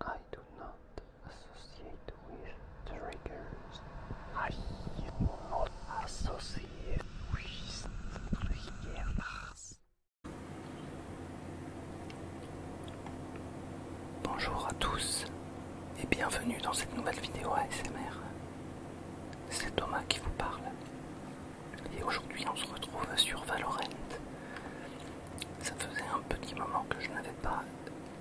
I do not associate with triggers. I associate with triggers. Bonjour à tous et bienvenue dans cette nouvelle vidéo ASMR. C'est Thomas qui vous parle. Et aujourd'hui on se retrouve sur Valorant. Ça faisait un petit moment que je n'avais pas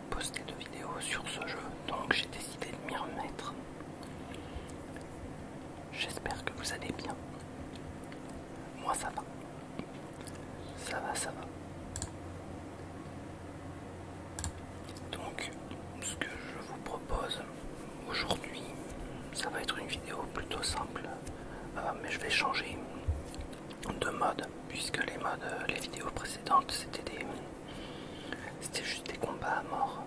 posté de vidéo sur ce jeu, donc j'ai décidé de m'y remettre. J'espère que vous allez bien. Moi ça va. Ça va, ça va. Donc, ce que je vous propose aujourd'hui, ça va être une vidéo plutôt simple, euh, mais je vais changer de mode puisque les modes euh, les vidéos précédentes c'était des c'était juste des combats à mort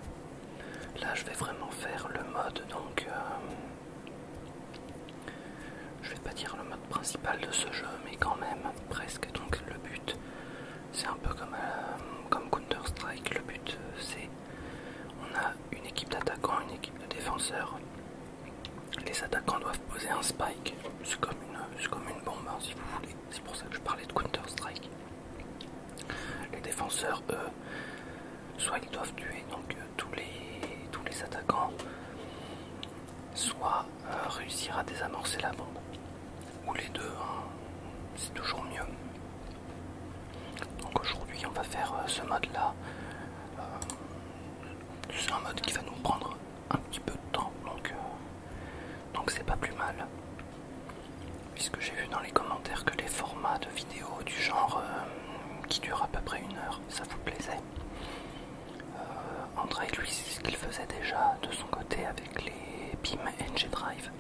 là je vais vraiment faire le mode donc euh, je vais pas dire le mode principal de ce jeu mais quand même presque donc le but c'est un peu comme, euh, comme Counter Strike le but c'est on a une équipe d'attaquants une équipe de défenseurs les attaquants doivent poser un spike. C'est comme, une bombe, hein, si vous voulez. C'est pour ça que je parlais de Counter-Strike. Les défenseurs, eux, soit ils doivent tuer donc, euh, tous, les, attaquants, soit euh, réussir à désamorcer la bombe. Ou les deux, hein. c'est toujours mieux. Donc aujourd'hui, on va faire euh, ce mode-là c'est un mode qui va nous prendre un petit peu de temps donc euh, donc c'est pas plus mal puisque j'ai vu dans les commentaires que les formats de vidéos du genre euh, qui durent à peu près une heure ça vous plaisait euh, André lui c'est ce qu'il faisait déjà de son côté avec les BIM NG Drive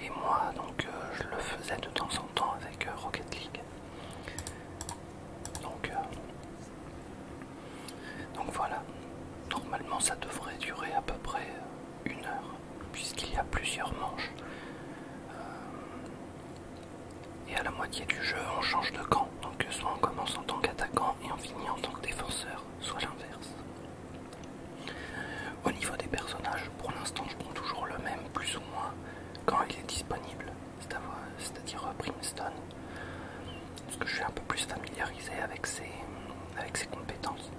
et moi donc euh, je le faisais de temps en temps avec Rocket League euh, donc, voilà, normalement ça devrait durer à peu près euh, une heure, puisqu'il y a plusieurs manches. Euh, et à la moitié du jeu, on change de camp. Donc soit on commence en tant qu'attaquant et on finit en tant que défenseur, soit l'inverse. Au niveau des personnages, pour l'instant je prends toujours le même, plus ou moins, quand il est disponible c'est-à-dire euh, Brimstone parce que je suis un peu plus familiarisé avec ses, avec ses compétences.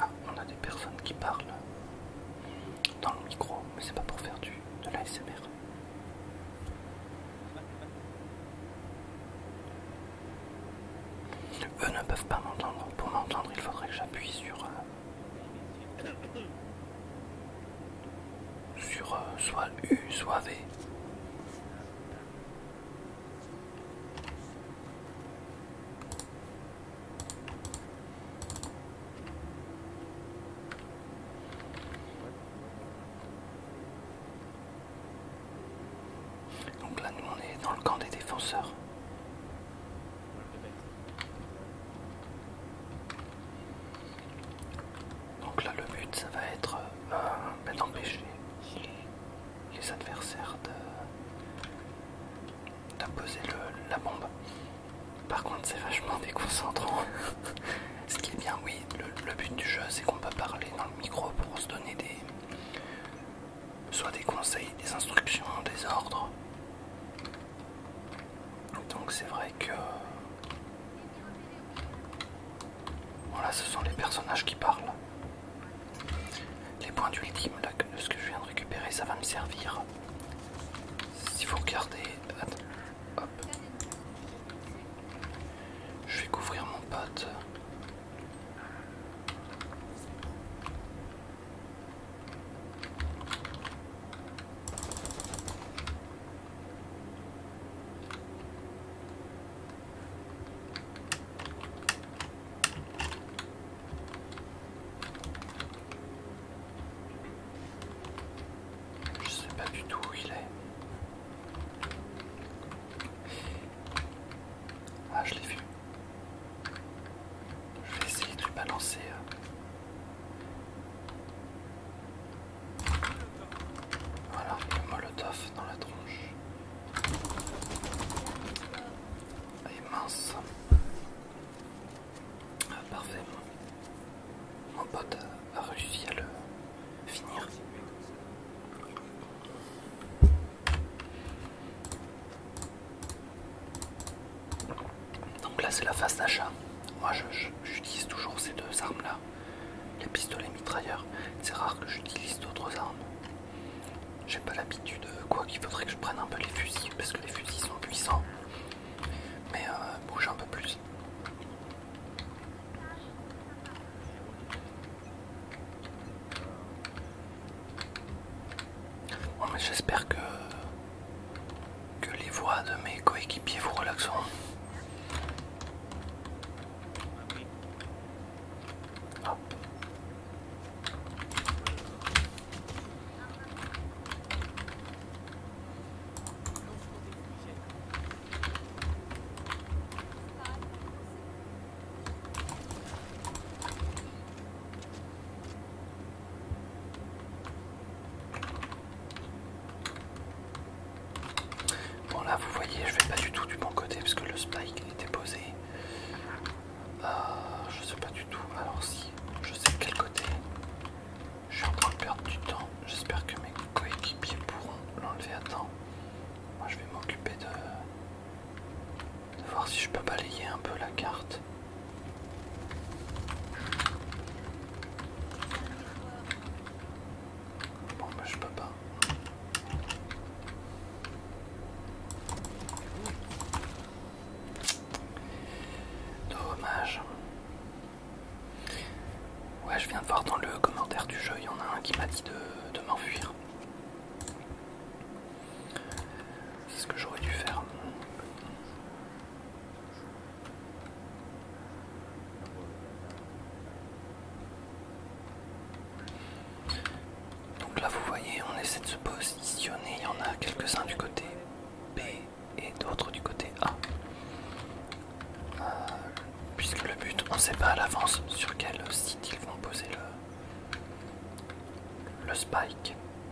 Ah, on a des personnes qui parlent dans le micro, mais c'est pas pour faire du, de l'ASMR. Eux ne peuvent pas m'entendre. Pour m'entendre, il faudrait que j'appuie sur... Euh, sur euh, soit U, soit V. Donc là, nous on est dans le camp des défenseurs. Donc là le but ça va être euh, ben, d'empêcher les, adversaires de, la bombe. Par contre c'est vachement déconcentrant. Ce qui est bien oui, le, but du jeu c'est qu'on peut parler dans le micro pour se donner soit des conseils, des instructions, des ordres. Donc c'est vrai que... Voilà, ce sont les personnages qui parlent. Les points d'ultime, là, de ce que je viens de récupérer, ça va me servir. Si vous regardez... Hop. Je vais couvrir mon pote. Je sais pas du tout où il est. Ah, je l'ai vu. Je vais essayer de lui balancer. Euh. Voilà, le molotov dans la tronche. Ah, Et mince. Ah, parfait. Mon pote a réussi à le finir. Donc là c'est la phase d'achat. Moi j'utilise toujours ces deux armes là, les pistolets mitrailleurs. C'est rare que j'utilise d'autres armes. J'ai pas l'habitude, euh, quoi qu'il faudrait que je prenne un peu les fusils, parce que les fusils sont puissants. Mais euh, bouge un peu plus j'espère que, que les voix de mes coéquipiers vous relaxeront. Bon là vous voyez je vais pas du tout du bon côté parce que le spike était posé. Ah, je sais pas du tout. Alors si je sais de quel côté. Je suis en train de perdre du temps. J'espère que mes coéquipiers pourront l'enlever à temps. Moi je vais m'occuper de voir si je peux balayer un peu la carte. Bon moi bah, je peux pas. Dommage. Ouais, je viens de voir dans le commentaire du jeu, il y en a un qui m'a dit de, de m'enfuir. C'est ce que j'aurais dû faire. Donc là, vous voyez, on essaie de se positionner. Il y en a quelques-uns du côté B et d'autres du côté A. Euh, puisque le but, on ne sait pas à l'avance sur quel site ils vont poser le spike.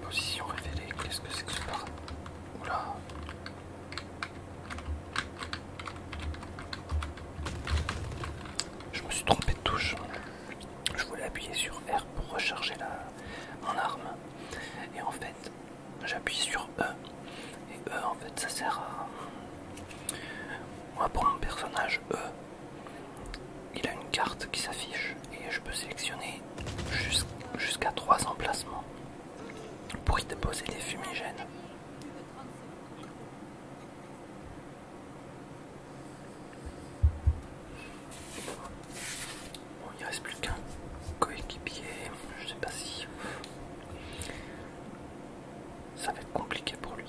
Position révélée, qu'est-ce que c'est que ce Oula Je me suis trompé de touche. Je voulais appuyer sur R pour recharger la... mon arme. Et en fait, j'appuie sur E et E en fait ça sert à moi pour mon personnage E il a une carte qui s'affiche et je peux sélectionner jusqu'à 3 emplacements pour y déposer des fumigènes Bon, il reste plus qu'un coéquipier, je sais pas si ça va être compliqué pour lui.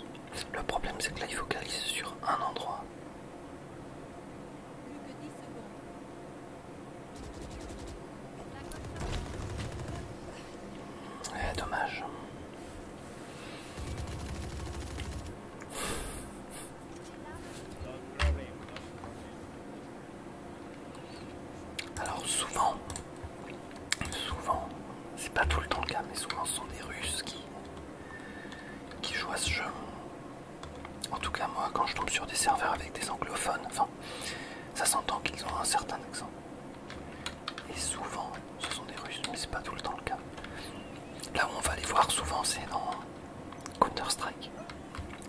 Le problème, c'est que là, il focalise sur un endroit. Eh, dommage. Alors souvent, souvent, c'est pas tout le temps le cas, mais souvent ce sont des Russes qui, jouent à ce jeu. En tout cas, moi, quand je tombe sur des serveurs avec des anglophones, enfin, ça s'entend qu'ils ont un certain accent. Et souvent, ce sont des Russes, mais c'est pas tout le temps le cas. Là où on va les voir souvent, c'est dans Counter-Strike.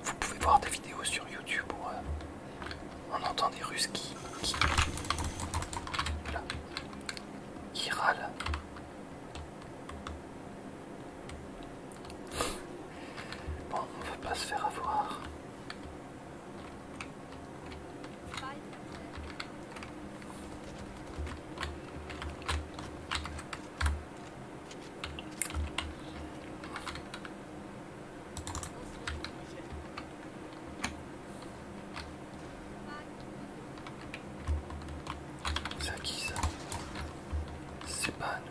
Vous pouvez voir des vidéos sur YouTube ou on entend des Russes qui, qui, râlent. on ne veut pas se faire avoir. C'est à qui ça C'est pas à nous.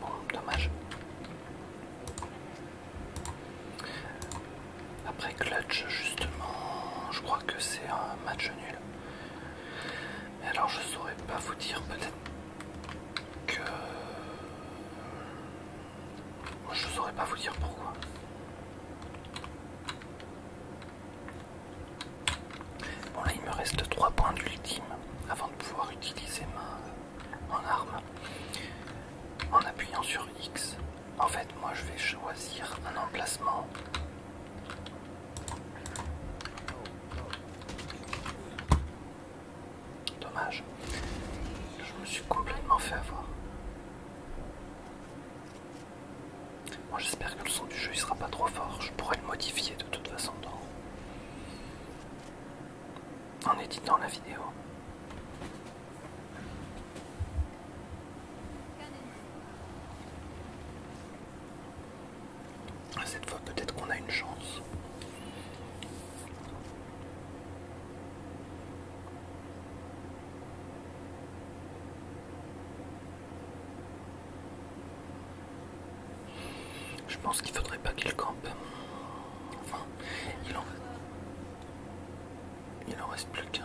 Bon, dommage. Après Clutch, justement, je crois que c'est un match nul. Mais alors, je saurais pas vous dire, peut-être que. Je saurais pas vous dire pourquoi. Bon là il me reste 3 points d'ultime avant de pouvoir utiliser ma en arme en appuyant sur X. En fait, moi je vais choisir un emplacement. Dommage, je me suis complètement fait avoir. Moi j'espère que le son du jeu il sera pas trop fort, je pourrais le modifier de toute façon en éditant la vidéo. Cette fois peut-être qu'on a une chance. Je pense qu'il faudrait pas qu'il campe. Enfin, il il en reste plus qu'un.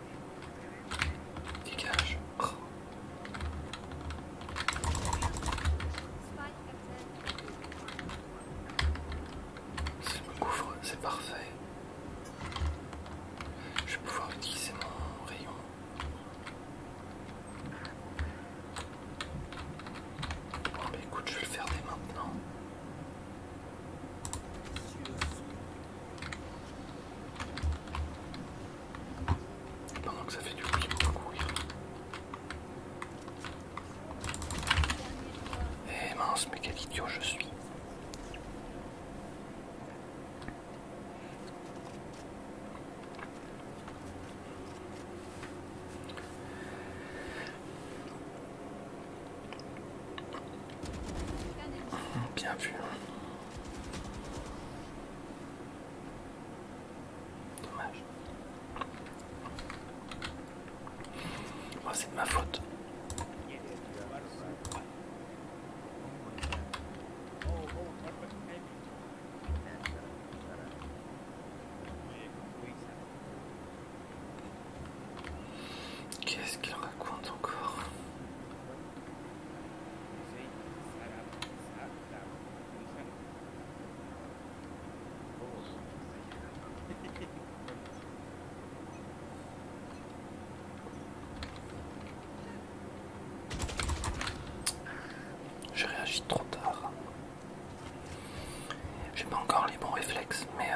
Dégage. le oh. me couvre, c'est parfait. Je vais pouvoir utiliser mon rayon. Bon, bah écoute, je vais le faire dès maintenant. Pendant que ça fait du bruit, on va courir. Eh mince, mais quel idiot je suis. Bien vu. Dommage. Oh, c'est de ma faute. Qu'est-ce qu'il raconte encore je réagis trop tard. J'ai pas encore les bons réflexes, mais euh,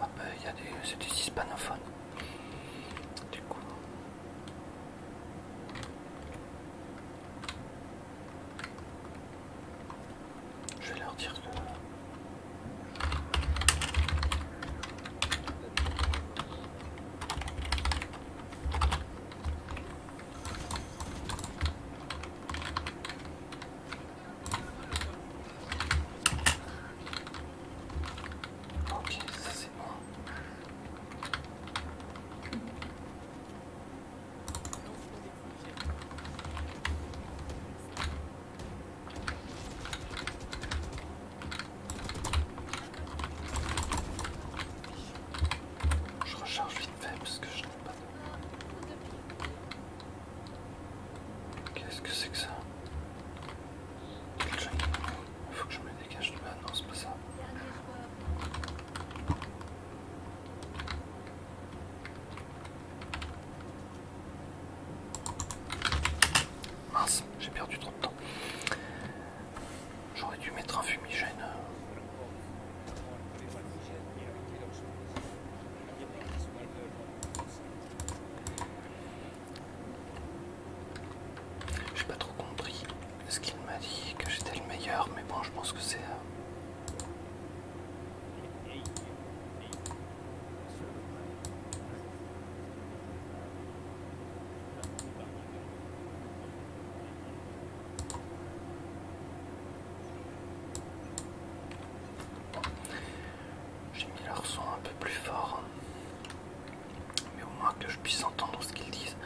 Ah ben il y a des. c'est des hispanophones. Du coup. Je vais leur dire que. Ok, ça c'est bon. Je recharge vite fait parce que je n'ai pas Qu'est-ce que c'est que ça Il faut que je me dégage de là. Non, c'est pas ça. Mince, j'ai perdu trop de temps. J'aurais dû mettre un fumigène. Euh, j'ai pas trop compris ce qu'il m'a dit que j'étais le meilleur, mais bon, je pense que c'est. Euh, j'ai mis leur son un peu plus fort, hein. mais au moins que je puisse entendre ce qu'ils disent.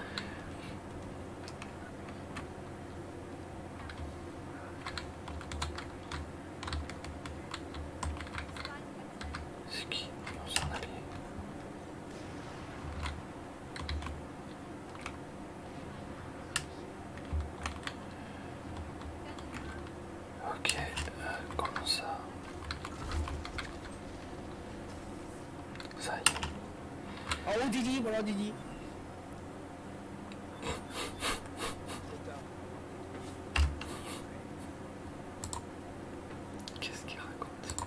qui Ok, euh, comment ça Ça y est. Oh Didi, voilà Didi. Qu'est-ce qu'il raconte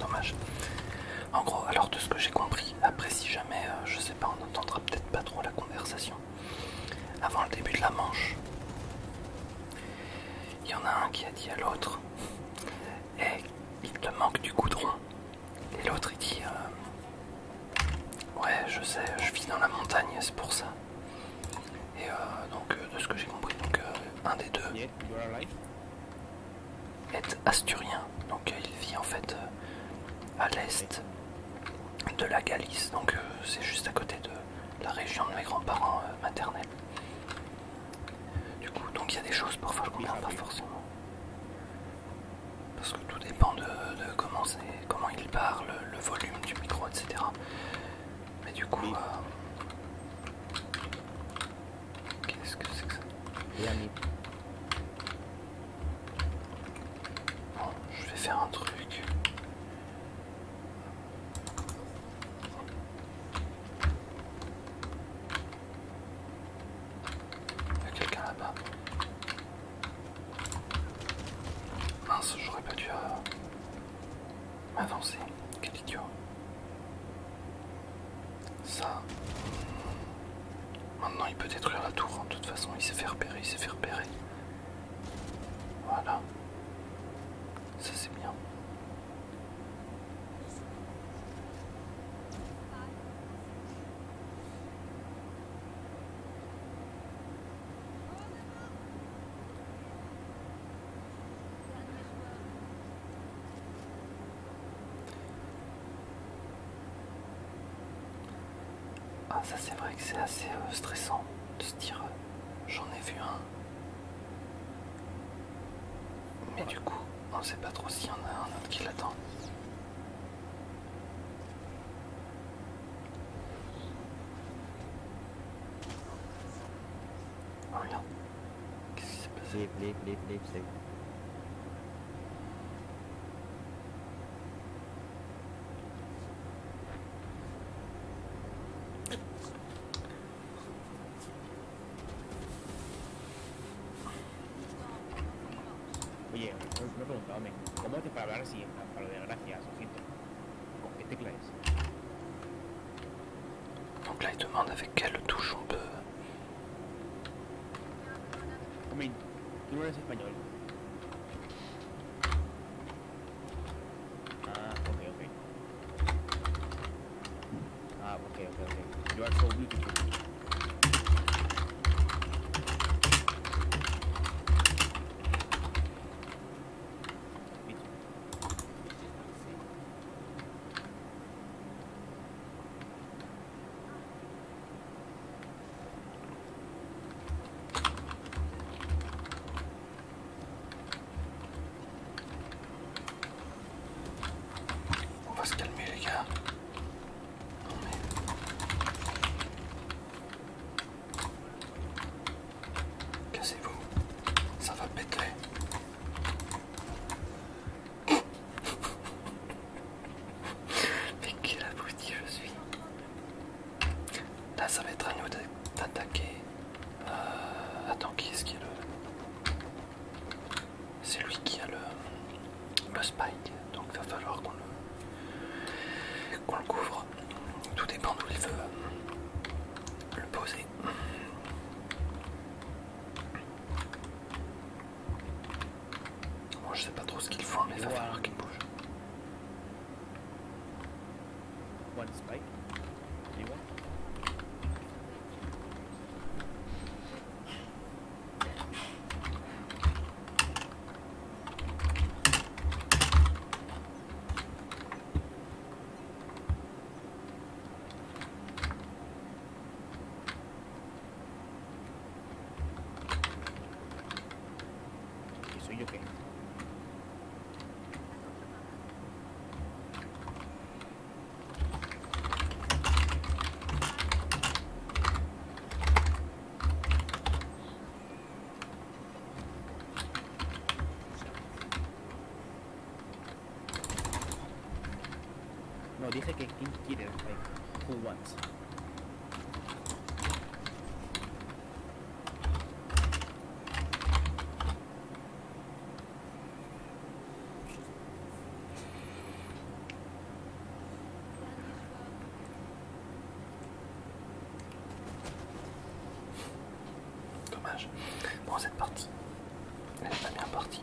Dommage. En gros, alors de ce que j'ai compris, après si jamais, euh, je sais pas, on entendra peut-être pas trop la conversation avant le début de la manche il y en a un qui a dit à l'autre et il te manque du coudron et l'autre il dit euh, ouais je sais je vis dans la montagne c'est pour ça et euh, donc euh, de ce que j'ai compris un des deux est asturien donc il vit en fait à l'est de la Galice donc c'est juste à côté de la région de mes grands-parents euh, maternels. Du coup, donc il y a des choses parfois je comprends pas forcément. Parce que tout dépend de, comment, comment il parle, le volume du micro, etc. Mais du coup... Euh, qu'est-ce que c'est que ça Bon, je vais faire un truc. Il y a quelqu'un là-bas. Mince, j'aurais pas dû avancer. Euh, m'avancer. Quel idiot. Ça. Maintenant il peut détruire la tour, en hein. toute façon il s'est fait repérer, il s'est fait repérer. Voilà. Ça c'est bien. Ah ça c'est vrai que c'est assez euh, stressant de se dire euh, j'en ai vu un mais du coup, on sait pas trop s'il y en a un autre qui l'attend. Oh regarde. Qu'est-ce qui s'est passé Oye, me he preguntado, ¿cómo te para hablar así, para lo de gracias, ojito? ¿Con qué tecla es? Donc là, il demande avec quelle touche on peut... tu tú no eres español. Ah, okay, okay. Ah, okay, okay, okay. You are so beautiful. On va se calmer les gars. Cassez-vous. Ça va péter. Mais quel abruti je suis. Là ça va être à nous d'attaquer. Euh, attends, qui est-ce qui a le. C'est lui qui a le, le spike, donc il va falloir qu'on le, qu'on le couvre. Tout dépend d'où il veut euh, le poser. Moi je sais pas trop ce qu'il faut mais il va falloir qu'il bouge. One spike. Anyone? Okay, so you okay. No, dije que quien quiere, eh, who wants. Dommage. Bon, cette partie, elle n'est pas bien partie.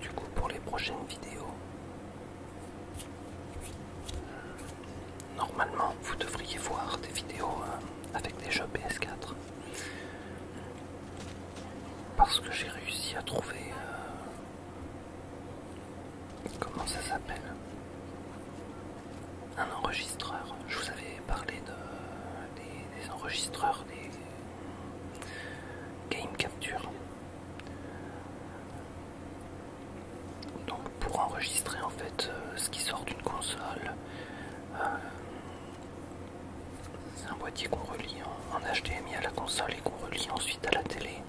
Du coup, pour les prochaines vidéos, normalement, vous devriez voir des vidéos euh, avec des jeux PS4 parce que j'ai réussi à trouver euh, Comment ça s'appelle Un enregistreur. Je vous avais parlé des, enregistreurs, des game capture. Donc pour enregistrer en fait euh, ce qui sort d'une console, euh, c'est un boîtier qu'on relie en, en HDMI à la console et qu'on relie ensuite à la télé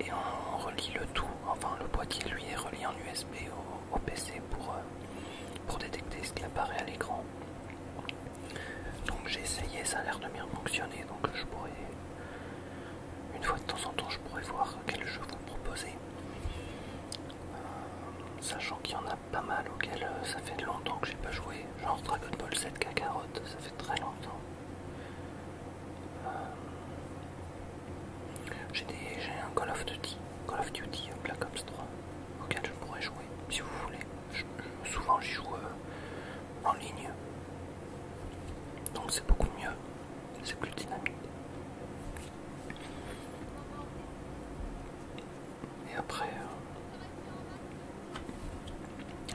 et on relie le tout, enfin le boîtier lui est relié en USB au, PC euh, pour, détecter ce qui apparaît à l'écran. Donc j'ai essayé, ça a l'air de bien fonctionner, donc je pourrais, une fois de temps en temps, je pourrais voir quel jeu vous proposer. Euh, sachant qu'il y en a pas mal auxquels euh, ça fait longtemps que j'ai pas joué, genre Dragon Ball 7 Kakarot, ça très longtemps. Euh, des, J'ai un Call of Duty, Call of Duty euh, Black Ops 3 auquel je pourrais jouer si vous voulez. Souvent, je, souvent j'y joue euh, en ligne. Donc c'est beaucoup mieux, c'est plus dynamique. Et après,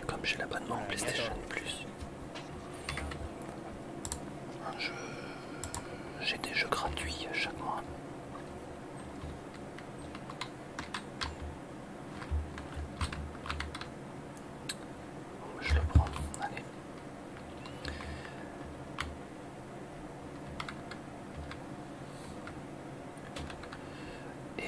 comme j'ai l'abonnement PlayStation Plus, j'ai des jeux gratuits chaque mois. Je le prends, allez. Et euh,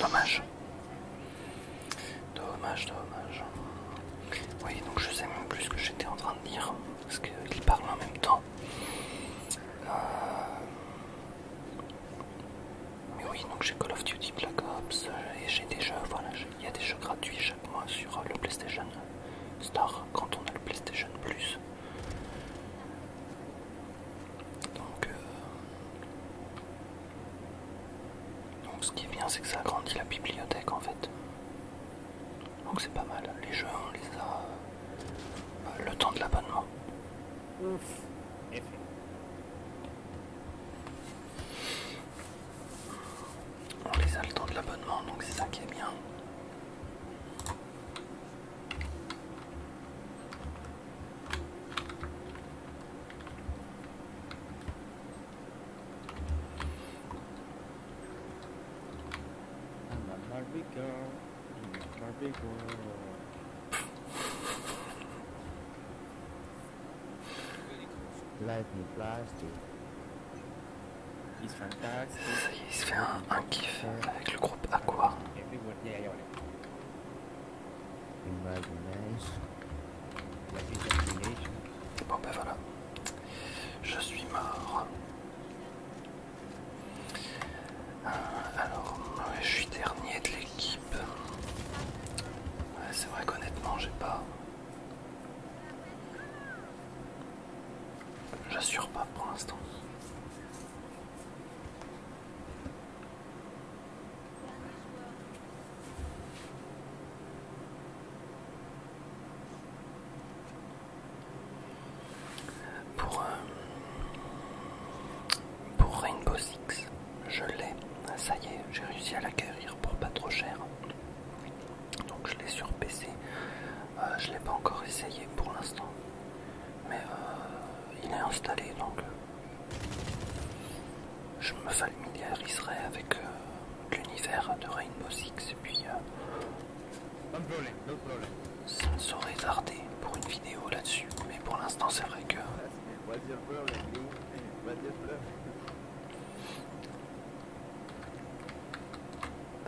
Dommage. Dommage, dommage. Oui, donc je sais même plus ce que j'étais en train de dire, parce qu'il parlent en même temps. Euh, mais oui, donc j'ai Call of Duty Black Ops, et j'ai des jeux, voilà, il y a des jeux gratuits chaque mois sur le PlayStation Star quand on a le PlayStation Plus. Donc, euh, Donc ce qui est bien c'est que ça agrandit la bibliothèque en fait. Donc c'est pas mal. Les jeux on les a euh, le temps de l'abonnement on les a le temps de l'abonnement, donc c'est ça qui est bien. Lightning plastic. Il se fait un, kiff avec le groupe Aqua. Bon ben voilà, je suis mort. Euh, alors, je suis dernier de l'équipe. C'est vrai qu'honnêtement, j'ai pas. J'assure pas pour l'instant. Pour, euh, pour Rainbow Six, je l'ai. Ça y est, j'ai réussi à l'acquérir pour pas trop cher. Donc je l'ai sur PC. Je je l'ai pas encore essayé pour l'instant, mais il est installé donc je me familiariserai avec l'univers de Rainbow Six et puis ça ne saurait tarder pour une vidéo là-dessus, mais pour l'instant c'est vrai que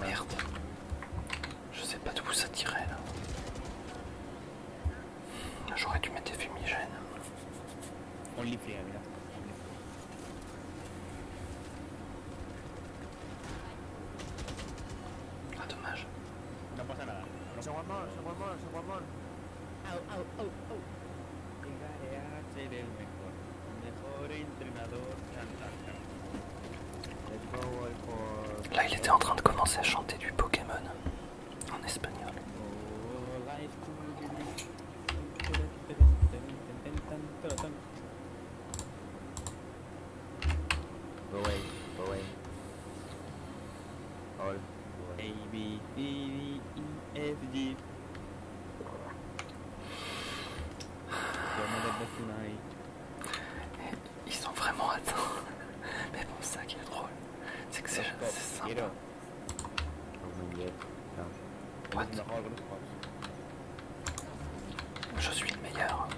Merde. Je sais pas d'où ça tirait là. J'aurais dû mettre des fumigènes. On les fait, là. Ah dommage. No pas ça là. C'est mal, se va mal, se Oh oh oh au, au, au. Llegaré Là, il était en train de commencer à chanter du Pokémon en espagnol. Ils sont vraiment atteints. Mais bon, c'est ça qui est drôle. C'est que c'est simple. Je suis le meilleur.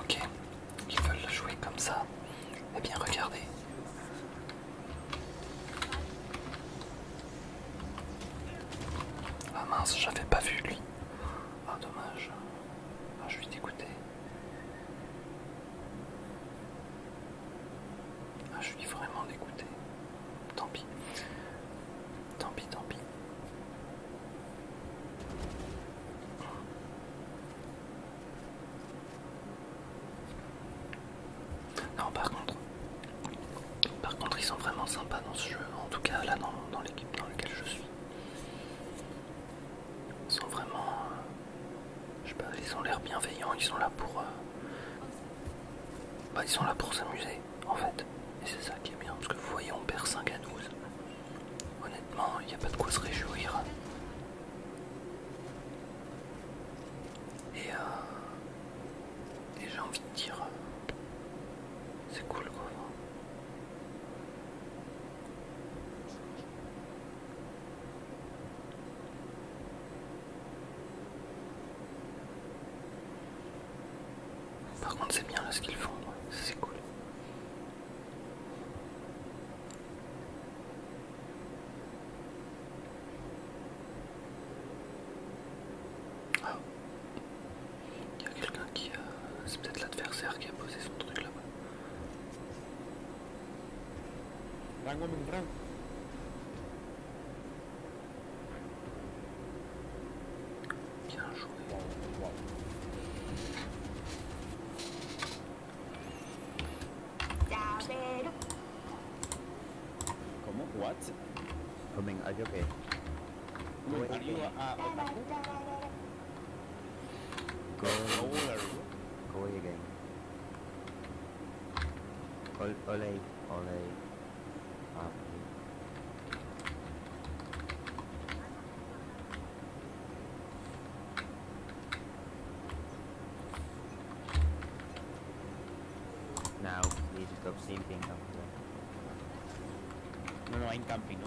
Ok, ils veulent jouer comme ça. Eh bien, regardez. Ah mince, j'avais pas vu lui. Ah dommage. Ah, je suis dégoûté. Ah, je suis vraiment dégoûté. Tant pis. Tant pis, tant pis. Non, par contre, par contre, ils sont vraiment sympas dans ce jeu. En tout cas, là, dans l'équipe dans laquelle je suis. Ils sont vraiment, euh, je sais pas, ils ont l'air bienveillants, ils sont là pour, euh, bah, ils sont là pour s'amuser en fait, et c'est ça qui est bien parce que vous voyez on perd 5 à 12, honnêtement il n'y a pas de quoi se réjouir. Et, euh, et j'ai envie de dire, euh, c'est cool quoi. Par contre, c'est bien là ce qu'ils font, c'est cool. Ah. Il y a quelqu'un qui a. Euh, c'est peut-être l'adversaire qui a posé son truc là-bas. Bien joué. Comment What Coming, are you uh, uh, Go. Go again. Ole, ole, ole. Up. Now, please stop sleeping. No, no, I'm camping. No?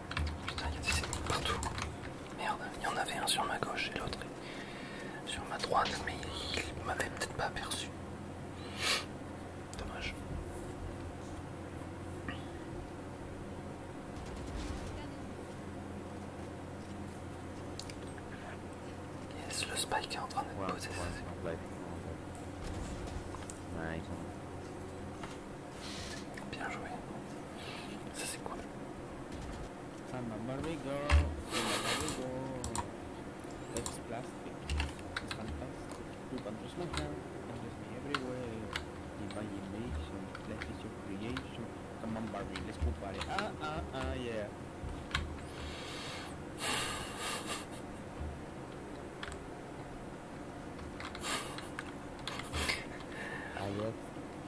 Putain, il y des partout. Merde, il y en avait un sur ma gauche et l'autre sur ma droite, mais il m'avait peut-être pas aperçu. Dommage. Yes, le spike est en train d'être posé. Bien joué. Ça c'est cool. Samba Barbigo, Samba That's plastic. It's fantastic. You can trust my hand and trust me everywhere. Imagination, life is your creation. Come on Barbie, let's go party. Ah ah ah yeah. I love ah,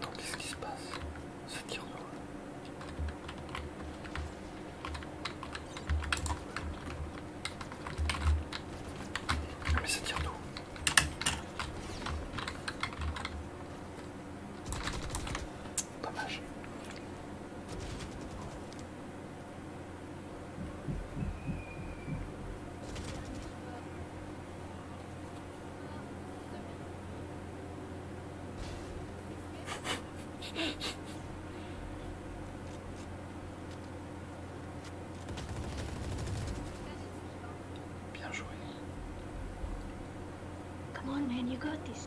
Donc qu'est-ce qui se passe Ça tire d'eau. mais ça tire Pas mal. Come on, man, you got this.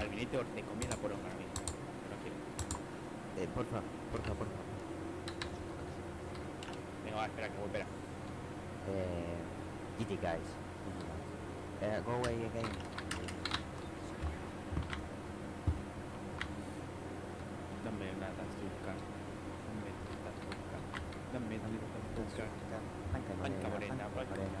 al te de comida por ahora mismo. por favor Eh, porfa, porfa, porfa. Venga, va, espera, que voy, espera. Eh, GT guys. Eh, go away again. Dame una tazuca. Dame una tazuca. Dame una tazuca. Panca morena, panca morena.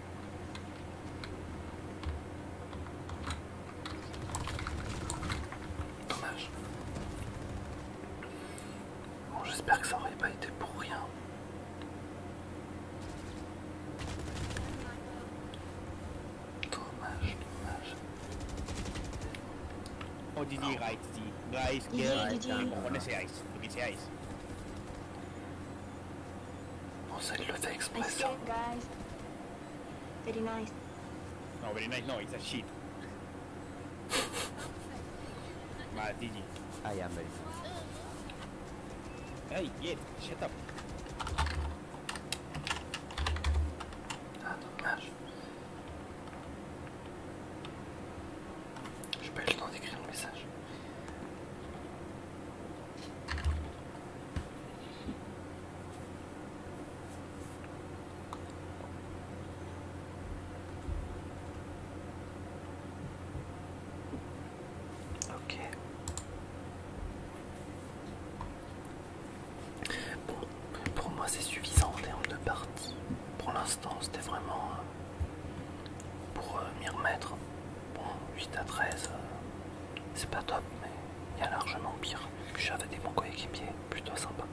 Dommage. Bon, j'espère que ça aurait pas été pour rien. Dommage, dommage. Oh, Didi, reizt die. Reizt, reizt, reizt, reizt, reizt, reizt, Monseigneur le fait exprès ça. guys. Very nice. No, very nice, no, it's a é shit. Mad DG. I am very Hey, get, shut up. Ah, dommage. J'ai pas eu le temps d'écrire le message. Ok. Bon, pour moi c'est suffisant en termes de partie. Pour l'instant, c'était vraiment euh, pour euh, m'y remettre. Bon, 8 à 13, euh, c'est pas top, mais il y a largement pire. j'avais des bons coéquipiers, plutôt sympa.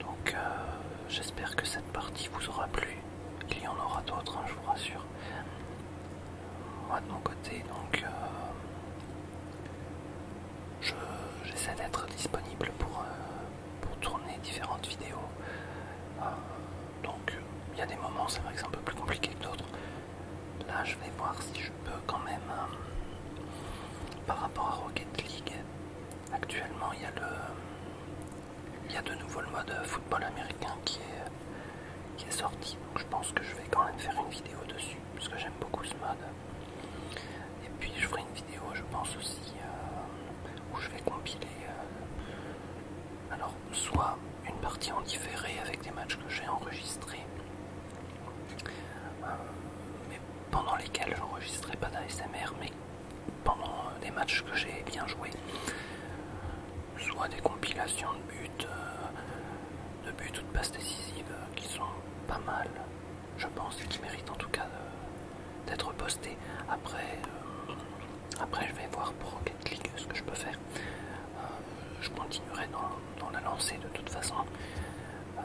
Donc euh, j'espère que cette partie vous aura plu. Il y en aura d'autres, hein, je vous rassure. Moi de mon côté, donc euh, j'essaie d'être disponible pour, tourner différentes vidéos. Donc il y a des moments, c'est vrai que c'est un peu plus compliqué que d'autres. Là, je vais voir si je peux quand même, euh, par rapport à Rocket League, actuellement il y a le, il y a de nouveau le mode football américain qui est, qui est sorti. Donc je pense que je vais quand même faire une vidéo dessus, parce que j'aime beaucoup ce mode. Et puis je ferai une vidéo, je pense aussi, euh, où je vais compiler. Euh, alors soit une partie en différé avec des matchs que j'ai enregistrés, euh, mais pendant lesquels j'enregistrais pas d'ASMR, mais pendant euh, des matchs que j'ai bien joués, soit des compilations de buts, euh, de buts ou de passes décisives qui sont pas mal, je pense, et qui méritent en tout cas d'être postées. Après, après, je vais voir pour Rocket League ce que je peux faire. Euh, je continuerai dans, la lancée de toute façon, euh,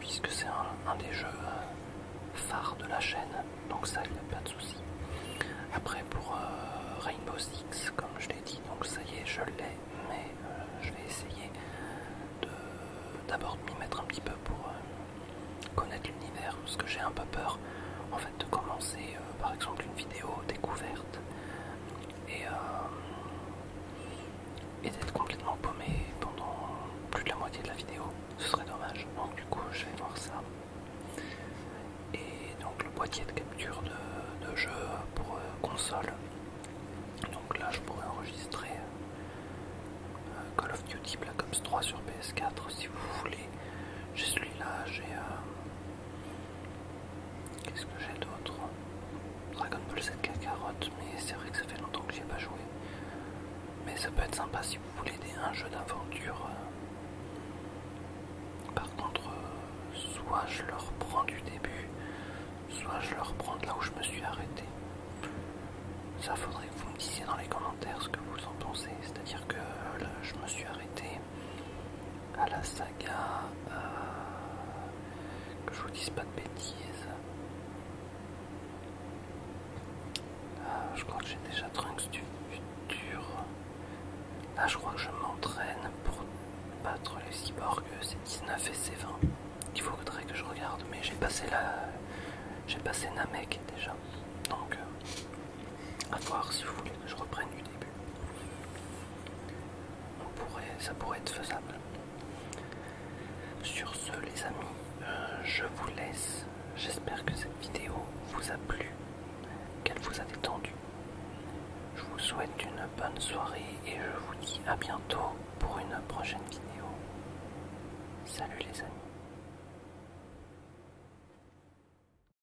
puisque c'est un, des jeux euh, phares de la chaîne, donc ça, il n'y a pas de souci. Après, pour Rainbow Six, comme je l'ai dit, donc ça y est, je l'ai, mais je vais essayer d'abord de, m'y mettre un petit peu pour connaître l'univers, parce que j'ai un peu peur en fait de commencer euh, par exemple une vidéo découverte euh, et, d'être complètement paumé pendant plus de la moitié de la vidéo, ce serait dommage. Donc du coup je vais voir ça. Et donc le boîtier de capture de, jeu pour euh, console. Donc là je pourrais enregistrer Call of Duty Black Ops 3 sur PS4 si vous voulez. J'ai celui-là, j'ai Qu'est-ce que j'ai d'autre Dragon Ball Z carotte mais c'est vrai que ça fait longtemps que n'y ai pas joué. Mais ça peut être sympa si vous voulez des, un jeu d'aventure. Euh. Par contre, euh, soit je le reprends du début, soit je le reprends de là où je me suis arrêté. Ça faudrait que vous me disiez dans les commentaires ce que vous en pensez. C'est-à-dire que euh, là, je me suis arrêté à la saga. Euh, que je vous dise pas de bêtises. Euh, je crois que j'ai déjà Trunks du futur. Là, je crois que je m'entraîne pour battre les cyborgs. C'est 19 et c'est 20. Il faudrait que je regarde, mais j'ai passé la. J'ai passé Namek déjà. Donc, euh, à voir si vous voulez que je reprenne du début. ça pourrait être faisable. Sur ce, les amis, euh, je vous laisse. J'espère que cette vidéo vous a plu, qu'elle vous a détendu. Je vous souhaite une bonne soirée et je vous dis à bientôt pour une prochaine vidéo. Salut les amis.